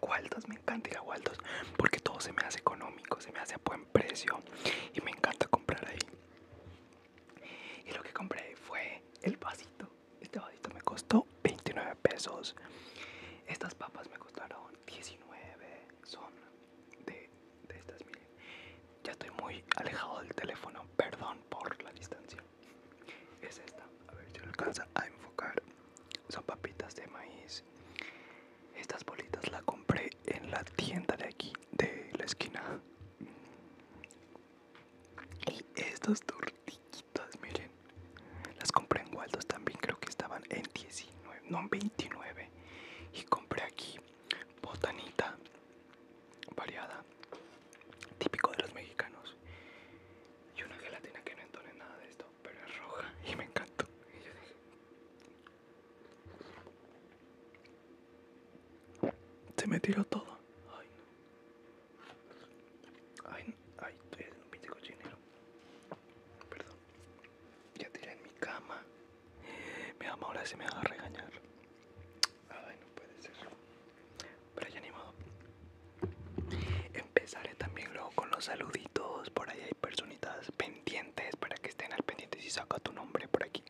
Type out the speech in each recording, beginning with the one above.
Waldos, me encanta ir a Waldos porque todo se me hace económico, se me hace a buen precio y me encanta comprar ahí. Y lo que compré fue el vasito. Este vasito me costó 29 pesos. Estas papas me costaron 19. Son de, de estas, miren. Ya estoy muy alejado del teléfono, perdón por la distancia. Es esta, a ver si lo alcanza a enfocar son papitas de maíz. Estas bolitas las compré en la tienda de aquí, de la esquina. Y estas tortillitas, miren, las compré en Waldos también, creo que estaban en 19, no en 29. Y compré aquí botanita variada, típico de los mexicanos. Y una gelatina que no entone nada de esto pero es roja y me encantó. Y yo dije, se me tiró todo. Ay no. Ay, ay, estoy en un pinche cochinero. Perdón. Ya tiré en mi cama. Mi mamá ahora se me va a regañar. Ay, no puede ser. Pero ya animado modo empezaré también luego con los saluditos. Por ahí hay personitas pendientes para que estén al pendiente si saca tu nombre por aquí.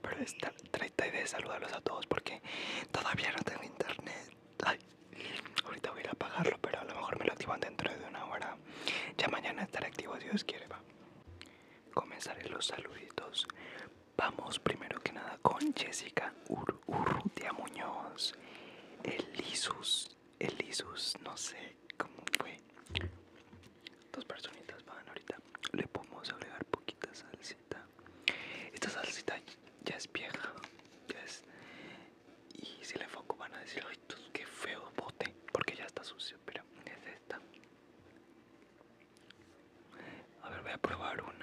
Pero esta, trata de saludarlos a todos porque todavía no tengo internet. ahorita voy a ir a apagarlo, pero a lo mejor me lo activan dentro de una hora. Ya mañana estará activo Dios quiere, va. Comenzaré los saluditos. Vamos primero que nada con Jessica Urrutia Muñoz, Elisus el Isus, no sé cómo fue. Dos personitas van ahorita. Le podemos agregar poquita salsita. Esta salsita ya es vieja. Ya es. Y si le enfoco van a decir, ay, pues, qué feo bote. Porque ya está sucio, pero es esta. A ver, voy a probar una.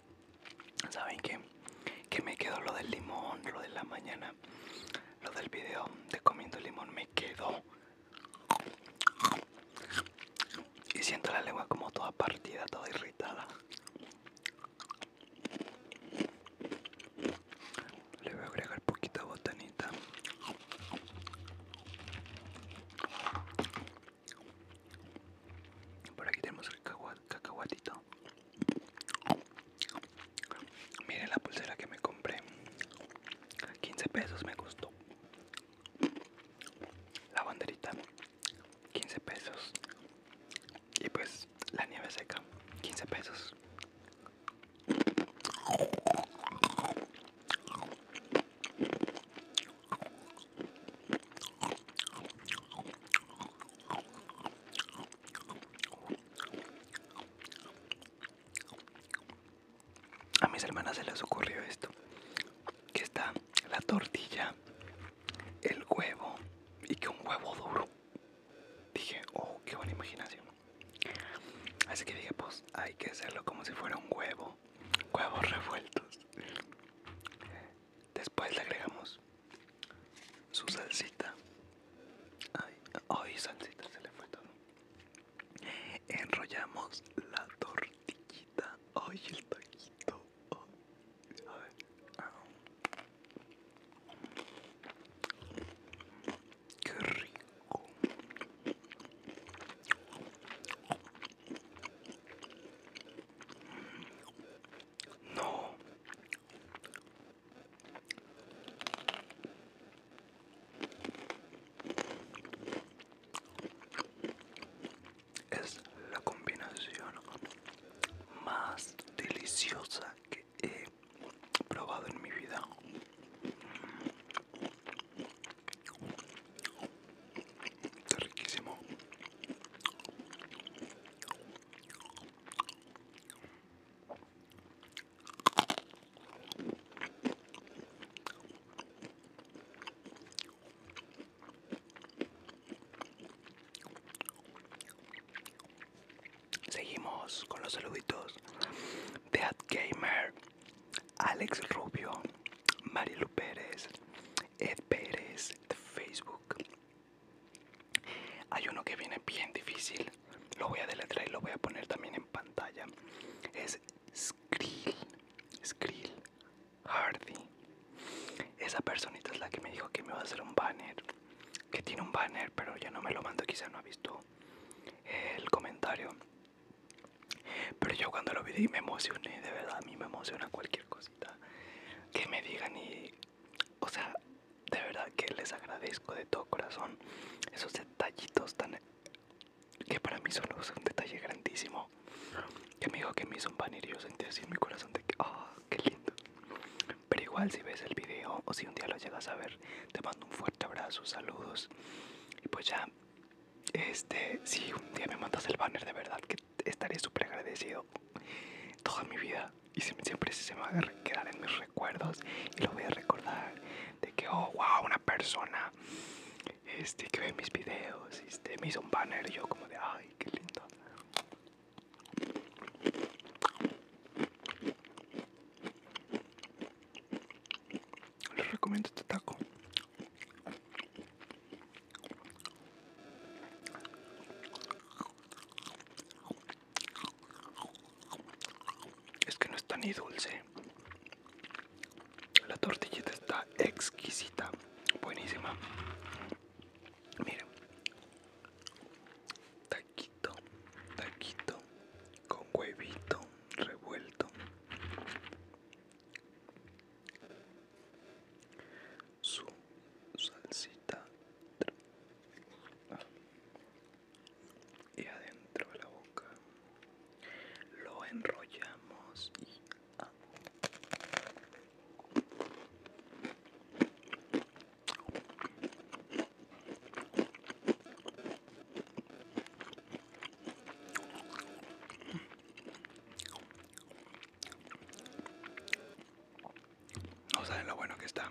saben que que me quedó lo del limón lo de la mañana lo del video de comiendo limón me quedó y siento la lengua como toda partida toda irritada le voy a agregar poquito botanita por aquí tenemos el cacahuatito Miren la pulsera que me compré. 15 pesos me gustó La banderita. 15 pesos. Y pues la nieve seca. 15 pesos. A mis hermanas se les ocurrió esto, que está la tortilla, el huevo y que un huevo duro. Dije, oh, qué buena imaginación. Así que dije, pues hay que hacerlo como si fuera un huevo, huevos revueltos. Después le agregamos su salsita. Ay, ay, salsita se le fue todo. Enrollamos la tortillita. Ay, el taquito. a ver. Qué rico. No. Es la combinación más deliciosa que he probado en mi vida. riquísimo. Seguimos con los saluditos. Ad Gamer, Alex Rubio, Marilu Pérez, Ed Pérez de Facebook, hay uno que viene bien difícil. Lo voy a deletrear y lo voy a poner también en pantalla. Es Skrill. Skrill Hardy. Esa personita es la que me dijo que me va a hacer un banner. Que tiene un banner, pero ya no me lo mando. Quizá no ha visto el comentario. Pero yo cuando lo vi me emocioné. De verdad, a mí me emociona cualquier cosita que me digan y, o sea, de verdad que les agradezco de todo corazón esos detallitos tan que para mí son un detalle grandísimo. Que me dijo que me hizo un banner y yo sentí así en mi corazón de que, ah, qué lindo. Pero igual si ves el video o si un día lo llegas a ver, te mando un fuerte abrazo, saludos. Y pues ya, este, si un día me mandas el banner de verdad, que estaré súper agradecido toda mi vida y siempre se me va a quedar en mis recuerdos y lo voy a recordar de que oh wow una persona este que ve mis videos este me hizo un banner yo como de ay qué lindo les recomiendo este taco es que no está ni dulce. La tortillita está exquisita, buenísima. Miren taquito, taquito con huevito revuelto su salsita ah, y adentro de la boca lo enrollamos y ah. No saben lo bueno que está.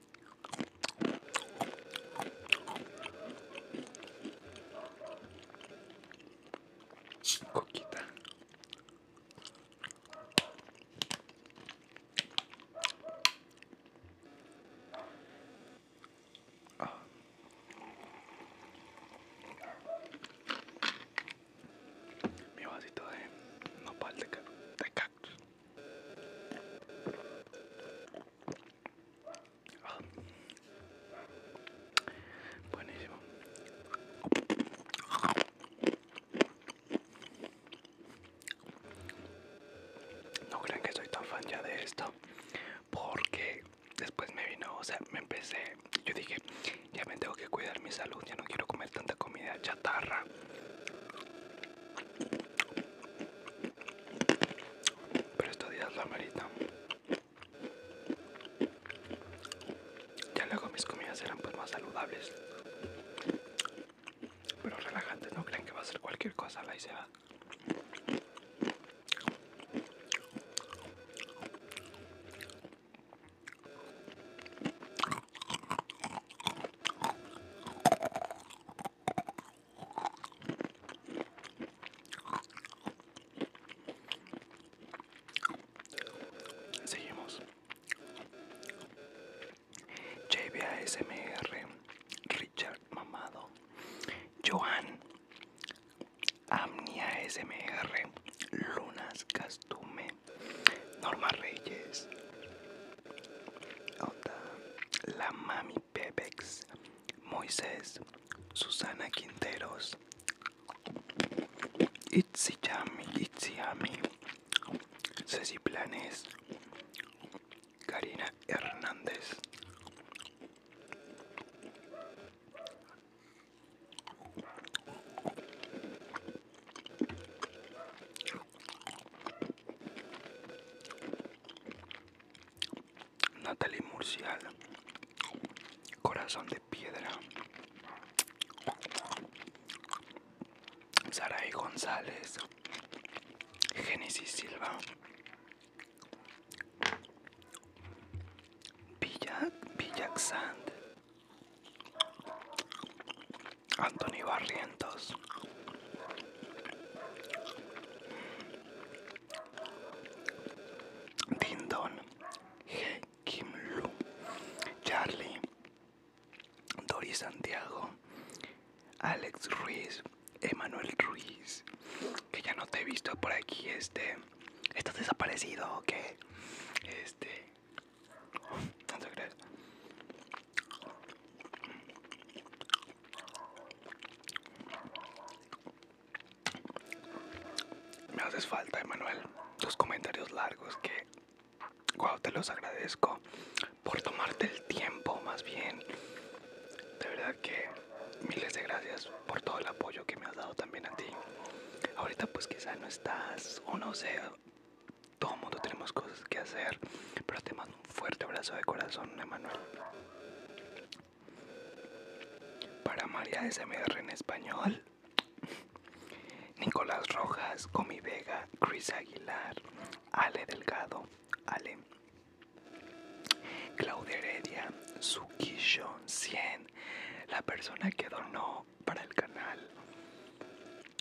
Coquita. Ah. Mi vasito de no pal de cactus. Buenísimo. No crean que soy tan fan ya de esto, porque después me vino, o sea, me empecé, yo dije, ya me tengo que cuidar mi salud, ya no quiero comer tanta comida chatarra pero estos días la marita Ya luego mis comidas eran pues más saludables, pero relajantes, no crean que va a ser cualquier cosa, la hice. Seguimos. SMR Richard Mamado, Joan Amnia SMR, Lunas Castume, Norma Reyes, La Mami pepex, Moises, Susana Quinteros, Itziami, Itziami, Ceci Planes, Karina Hernández. Natalie Murcial, Corazón de Piedra, Saray González, Genesis Silva, Villa, Villac Sand, Anthony Barrientos, Dindon, He Kim Lu, Charlie, Dory Santiago, Alex Ruiz, Emanuel Ruiz, que ya no te he visto por aquí, este, estás desaparecido o qué, este, no crees, me haces falta, Emanuel, tus comentarios largos que, wow, te los agradezco por tomarte el tiempo, más bien. De verdad que miles de gracias por todo el apoyo que me has dado también a ti. Ahorita pues quizá no estás o no sé, todo el mundo tenemos cosas que hacer, pero te mando un fuerte abrazo de corazón, Emanuel. Para María SMR en español, Nicolás Rojas, Comi Vega, Chris Aguilar, Ale Delgado, Ale, Claudia Heredia, Suquillo 100, la persona que donó para el canal.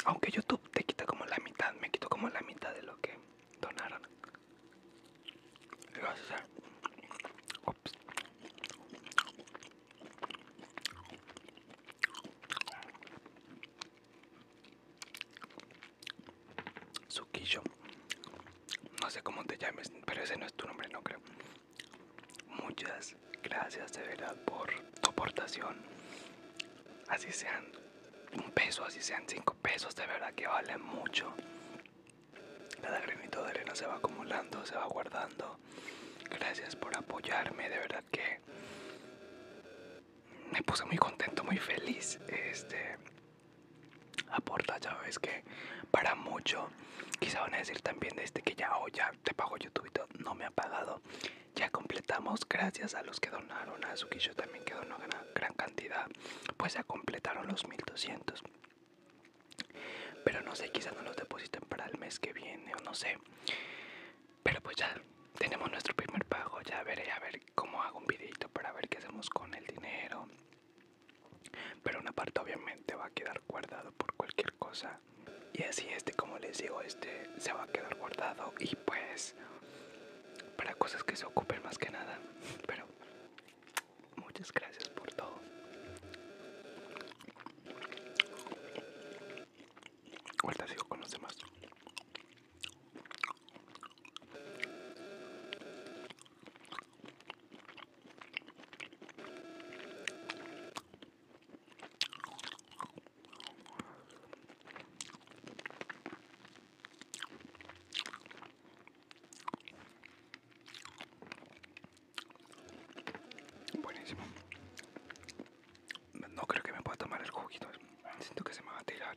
Aunque YouTube te quita como la mitad, me quito como la mitad de lo que donar gracias a Ops. Suquillo, no sé cómo te llames, pero ese no es tu nombre, no creo. Muchas gracias de verdad por tu aportación. Así sean un peso, así sean cinco pesos, de verdad que vale mucho. Cada granito de arena se va acumulando, se va guardando. Gracias por apoyarme, de verdad que me puse muy contento, muy feliz. Este aporta, ya ves que para mucho. Quizá van a decir también de este que ya, o ya te pago YouTube y No me ha pagado. Ya completamos, gracias a los que donaron, a Azuki yo también que donó gran, cantidad, pues ya completaron los 1200. Pero no sé, quizás no los depositen para el mes que viene o no sé. Pero pues ya tenemos nuestro primer pago, ya veré a ver cómo hago un videito para ver qué hacemos con el dinero. Pero una parte obviamente va a quedar guardado por cualquier cosa. Y así este, como les digo, este se va a quedar guardado y pues para cosas que se ocupen más que nada. Pero muchas gracias por todo. Ahorita sigo con los demás. Buenísimo. No creo que me pueda tomar el juguito. Siento que se me va a tirar.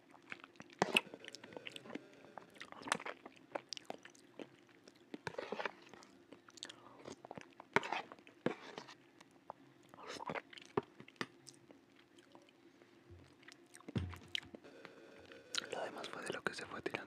Lo demás fue de lo que se fue tirando.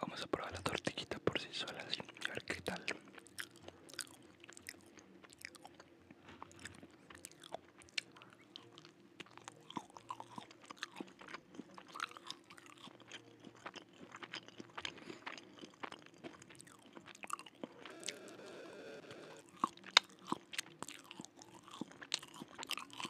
Vamos a probar la tortillita por sí sola, a ver qué tal.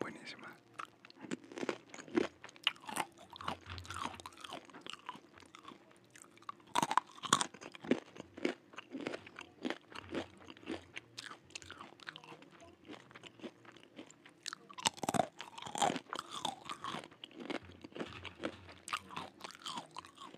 Buenísima.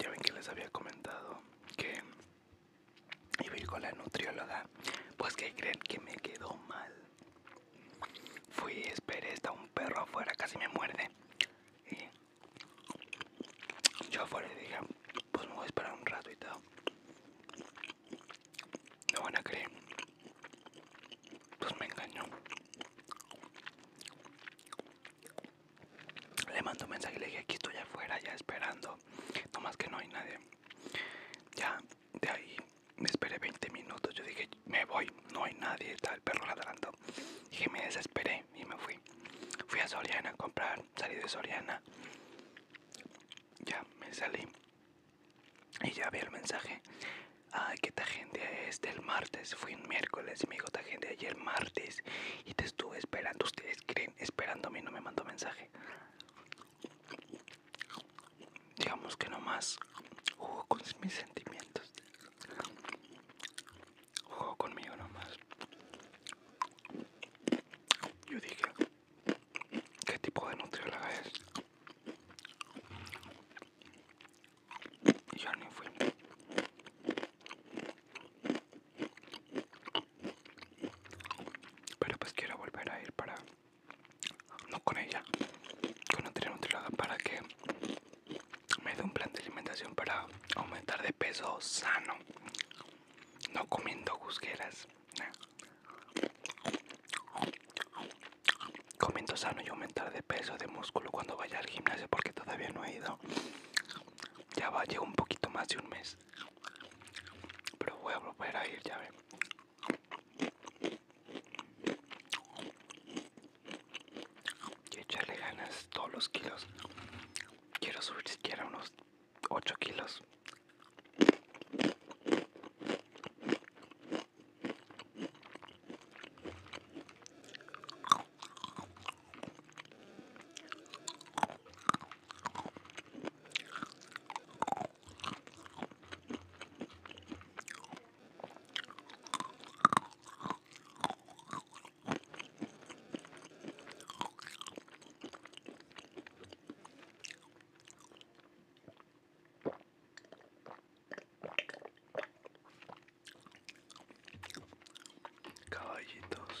Ya ven que les había comentado que iba con la nutrióloga. Pues que creen que me quedó mal. Fui, esperé, está un perro afuera, casi me muerde. Y yo afuera y dije, pues me voy a esperar un rato y todo. No van a creer. Pues me engañó. Le mando un mensaje y le dije, aquí estoy afuera ya esperando. No más que no hay nadie. Ya, de ahí me esperé 20 minutos, yo dije, me voy, no hay nadie, está el perro ladrando. Dije, me desesperé y me fui. Fui a Soriana a comprar, salí de Soriana. Ya me salí y ya vi el mensaje. Ay, que te gente es el martes. Fui un miércoles y me dijo ayer, gente? ayer martes. Y te estuve esperando. Ustedes creen, esperándome y no me mandó mensaje. Digamos que nomás jugo con mis sentimientos. Juego conmigo nomás. Yo dije, ¿qué tipo de nutrióloga es? Y ya ni fui. Pero pues quiero volver a ir para no con ella, con nutrióloga nutrióloga para que me dé un plan de alimentación para aumentar de peso sano, no comiendo juzgueras, comiendo sano y aumentar de peso, de músculo cuando vaya al gimnasio porque todavía no he ido, ya va, llevo un poquito más de un mes, pero voy a volver a ir, ya ve y echarle ganas todos los kilos quiero subir siquiera unos 8 kilos Caballitos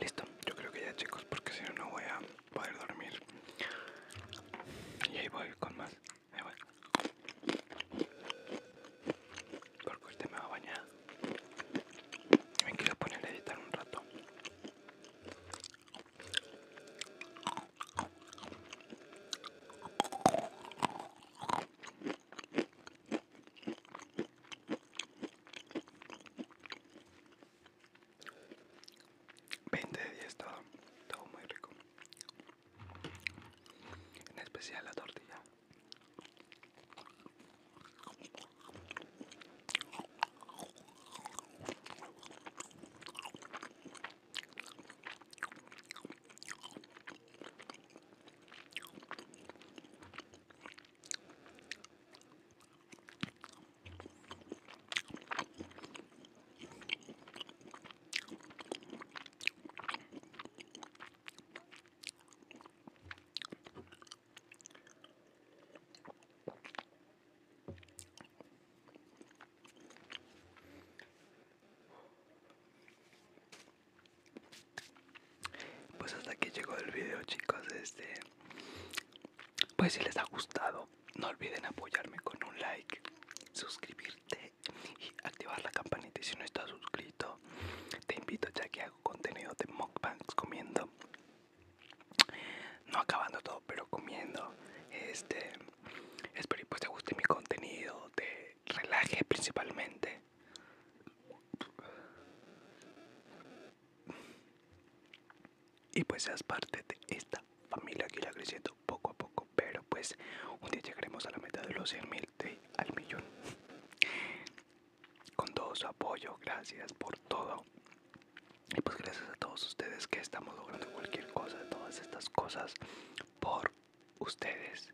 Listo, yo creo que ya chicos, porque si no, no voy a poder dormir. Y ahí voy con más. Ahí voy. Porque este me va a bañar. Me quiero poner a editar un rato. 20 de 10 todo, muy rico. En especial la tortilla. Pues hasta aquí llegó el video chicos, este pues si les ha gustado, no olviden apoyarme con un like, suscribirte y activar la campanita. Y si no estás suscrito, te invito ya que hago contenido de mukbangs comiendo. No acabando todo, pero comiendo. Este, espero que pues te guste mi contenido, te relaje principalmente y pues seas parte de esta familia que irá creciendo poco a poco. Pero pues un día llegaremos a la meta de los 100 mil al millón. Con todo su apoyo, gracias por todo. Y pues gracias a todos ustedes que estamos logrando cualquier cosa, todas estas cosas por ustedes.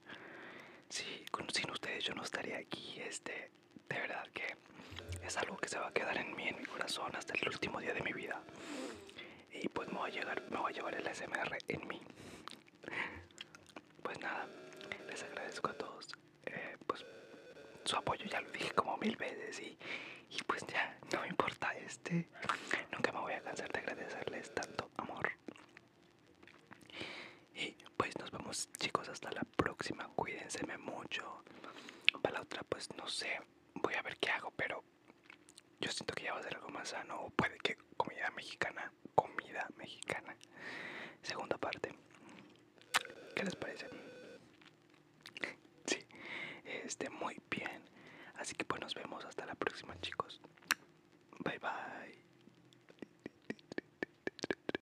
Sí, sin ustedes yo no estaría aquí. Este, de verdad que es algo que se va a quedar en mí, en mi corazón, hasta el último día de mi vida. Y pues me voy a, llegar, me a llevar el SMR en mí. Pues nada, les agradezco a todos eh, pues, su apoyo, ya lo dije como mil veces y, y pues ya, no me importa este. Nunca me voy a cansar de agradecerles tanto amor. Y pues nos vemos chicos hasta la próxima. Cuídense mucho. Para la otra pues no sé. Voy a ver qué hago. Pero yo siento que ya va a ser algo más sano. O puede que comida mexicana. Comida mexicana. Segunda parte. ¿Qué les parece? Sí. Este muy bien. Así que pues nos vemos hasta la próxima chicos. Bye bye.